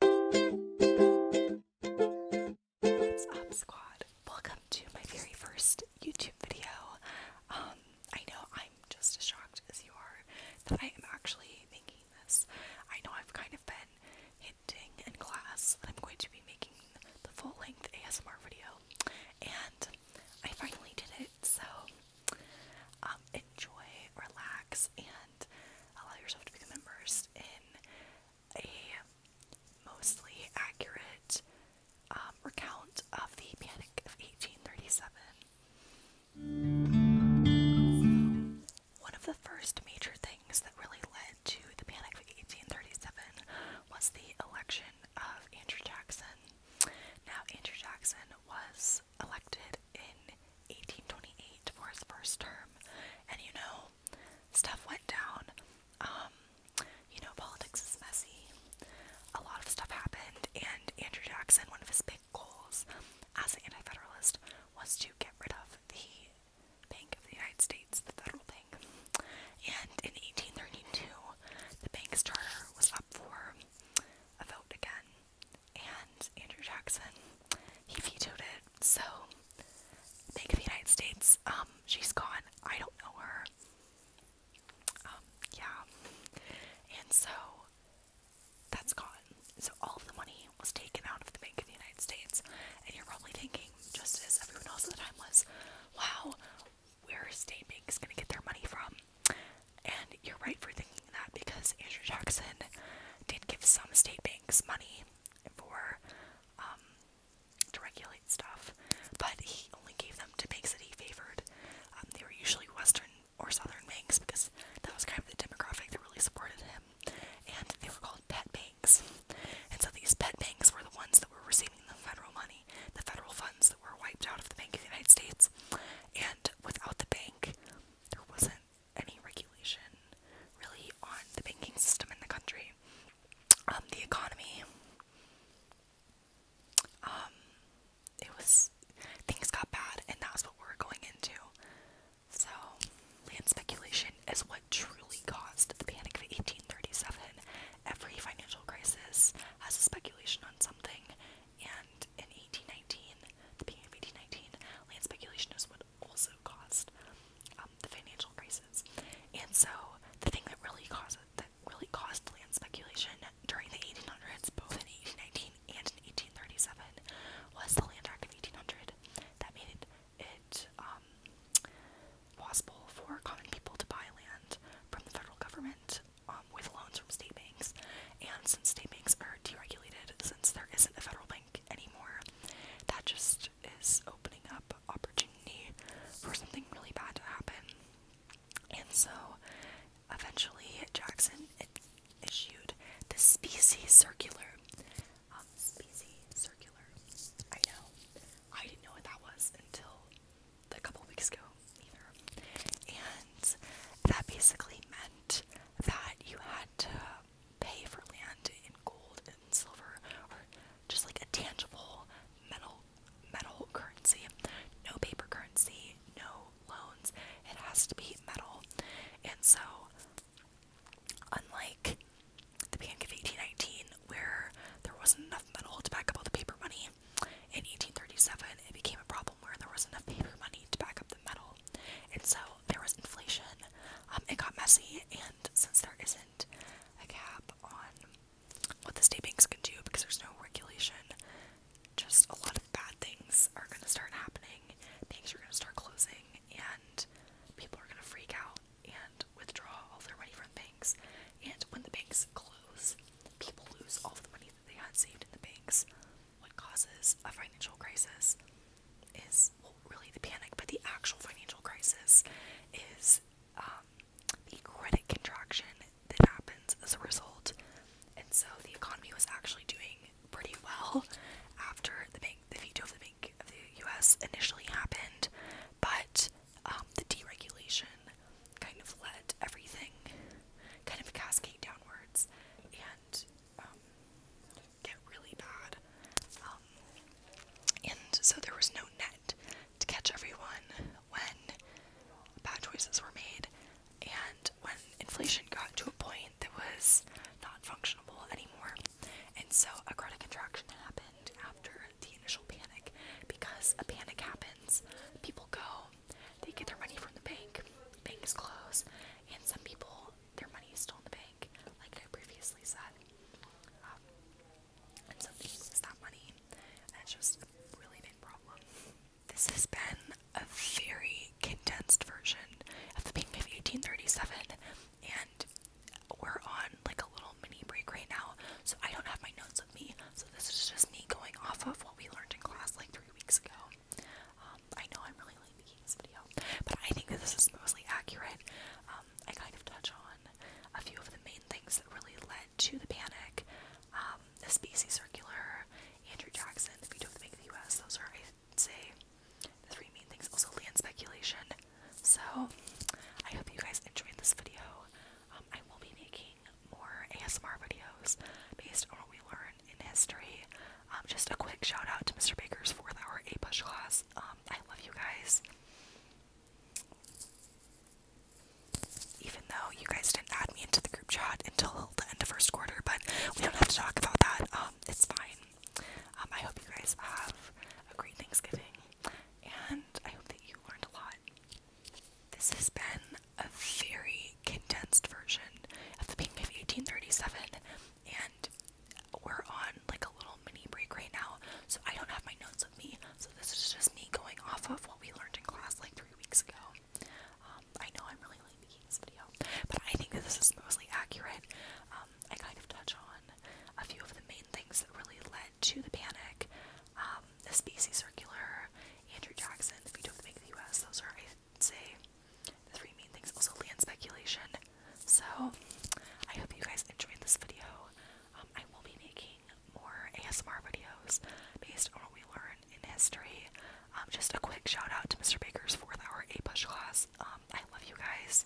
What's up, squad? Welcome to my very first YouTube video. Um, I know I'm just as shocked as you are that I am actually making this. I know I've kind of been hinting in class that I'm going to be making the full length ASMR video, and I finally did it. So, um, enjoy, relax, and allow yourself to become immersed in a mostly accurate um, recount of the Panic of 1837. One of the first major things that really led to the Panic of 1837 was the election of Andrew Jackson. Now, Andrew Jackson was was elected in 1828 for his first term, and you know, stuff went down. Um, you know, politics is messy. A lot of stuff happened, and Andrew Jackson, one of his big goals as an anti federalist, was to get rid of the Bank of the United States, the federal bank. And in 1832, the bank's charter was up for a vote again, and Andrew Jackson, he vetoed it. So, Bank of the United States, um, she's gone. I don't know her. Um, yeah. And so, that's gone. So, all of the money was taken out of the Bank of the United States. And you're probably thinking, just as everyone else at the time was, wow, where are state banks going to get their money from? And you're right for thinking that because Andrew Jackson did give some state banks money for um, to regulate stuff, but he only gave them to banks that he favored. Um, they were usually Western or Southern banks because that was kind of the demographic that really supported him, and they were called pet banks. And so these pet banks were the ones that were receiving the federal money, the federal funds that were wiped out of the Bank of the United States. And without the bank, there wasn't any regulation really on the banking system in the country. Um, the economy. Um, it was things got bad, and that's what we're going into. So, land speculation is what truly caused the Panic of 1837. Every financial crisis has a speculation on something, and in 1819, the beginning of land speculation is what also caused um, the financial crisis. And so, the thing that really caused that really caused land speculation during the 1800s, both in 1819 and in 1837, was the Land Act of 1800 that made it, it um, possible for common people to buy land from the federal government um, with loans from state banks. And since state banks are deregulated, since there isn't a federal bank anymore, that just is opening up opportunity for something really bad to happen. And so, eventually, Jackson issued the Specie Circular. Um, specie Circular. I know. I didn't know what that was until a couple weeks ago either. And that basically meant that you had to pay for land in gold and silver or just like a tangible metal metal currency. No paper currency, no loans. It has to be metal. And so unlike the beginning of 1819 where there wasn't enough metal to back up all the paper money, in 1837, it became a problem where there wasn't enough paper money to back up the metal, and so there was inflation. Um, it got messy, and since there isn't a cap on what the state banks can do because there's no regulation, just a lot of bad things are going to start happening. Banks are going to start closing, and people are going to freak out and withdraw all their money from banks. And when the banks close, people lose all of the money they had saved in the banks. What causes a financial crisis is, really the panic, but the actual financial crisis is um, the credit contraction that happens as a result. And so the economy was actually doing pretty well after the bank, the veto of the Bank of the U.S. initially happened, but um, the deregulation kind of let everything kind of cascade downwards and um, get really bad. Um, and so there was no net to catch everyone when bad choices were made. And when inflation got to a point that was not functionable anymore, and so a credit contraction happened after the initial panic. Because a panic happens, people go they get their money from the bank. Bank is closed, and some people, their money is still in the bank, like I previously said. Um, and some people lose that money, and it's just a really big problem. This has been a very condensed version of the Pink of 1837, and we're on like a little mini break right now, so I don't have my notes so this is just me going off of what we learned in class like three weeks ago. Um, I know I'm really late making this video, but I think that this is mostly accurate. Um, I kind of touch on a few of the main things that really led to the panic. Um, the Spacey Circular, Andrew Jackson, the veto of the Bank of the U.S. Those are, I'd say, the three main things. Also, land speculation. So, I hope you guys enjoyed this video. I will be making more ASMR videos based on what we learn in history. Um, just a quick shout out to Mr. Baker's fourth hour A push class. Um, I love you guys. Even though you guys didn't add me into the group chat until the end of first quarter, but we don't have to talk about that. Um, it's fine. I hope you guys have a great Thanksgiving, and I hope that you learned a lot. This has been a very condensed version of the Panic of 1837, and we're on like a little mini break right now, so I don't have my notes with me. So this is just me going off of what we learned in class like three weeks ago. Um, I know I'm really making this video, but I think that this is mostly accurate. Um, I kind of touch on a few of the main things that really led to the panic. Um, the SBC Circular, Andrew Jackson, The Veto of the Make of the US. Those are, i say, the three main things. Also, land speculation. So, I hope you guys enjoyed this video. Um, I will be making more ASMR videos based on what we learn in history. Um, just a quick shout out to Mr. Baker's fourth hour A push class. I love you guys.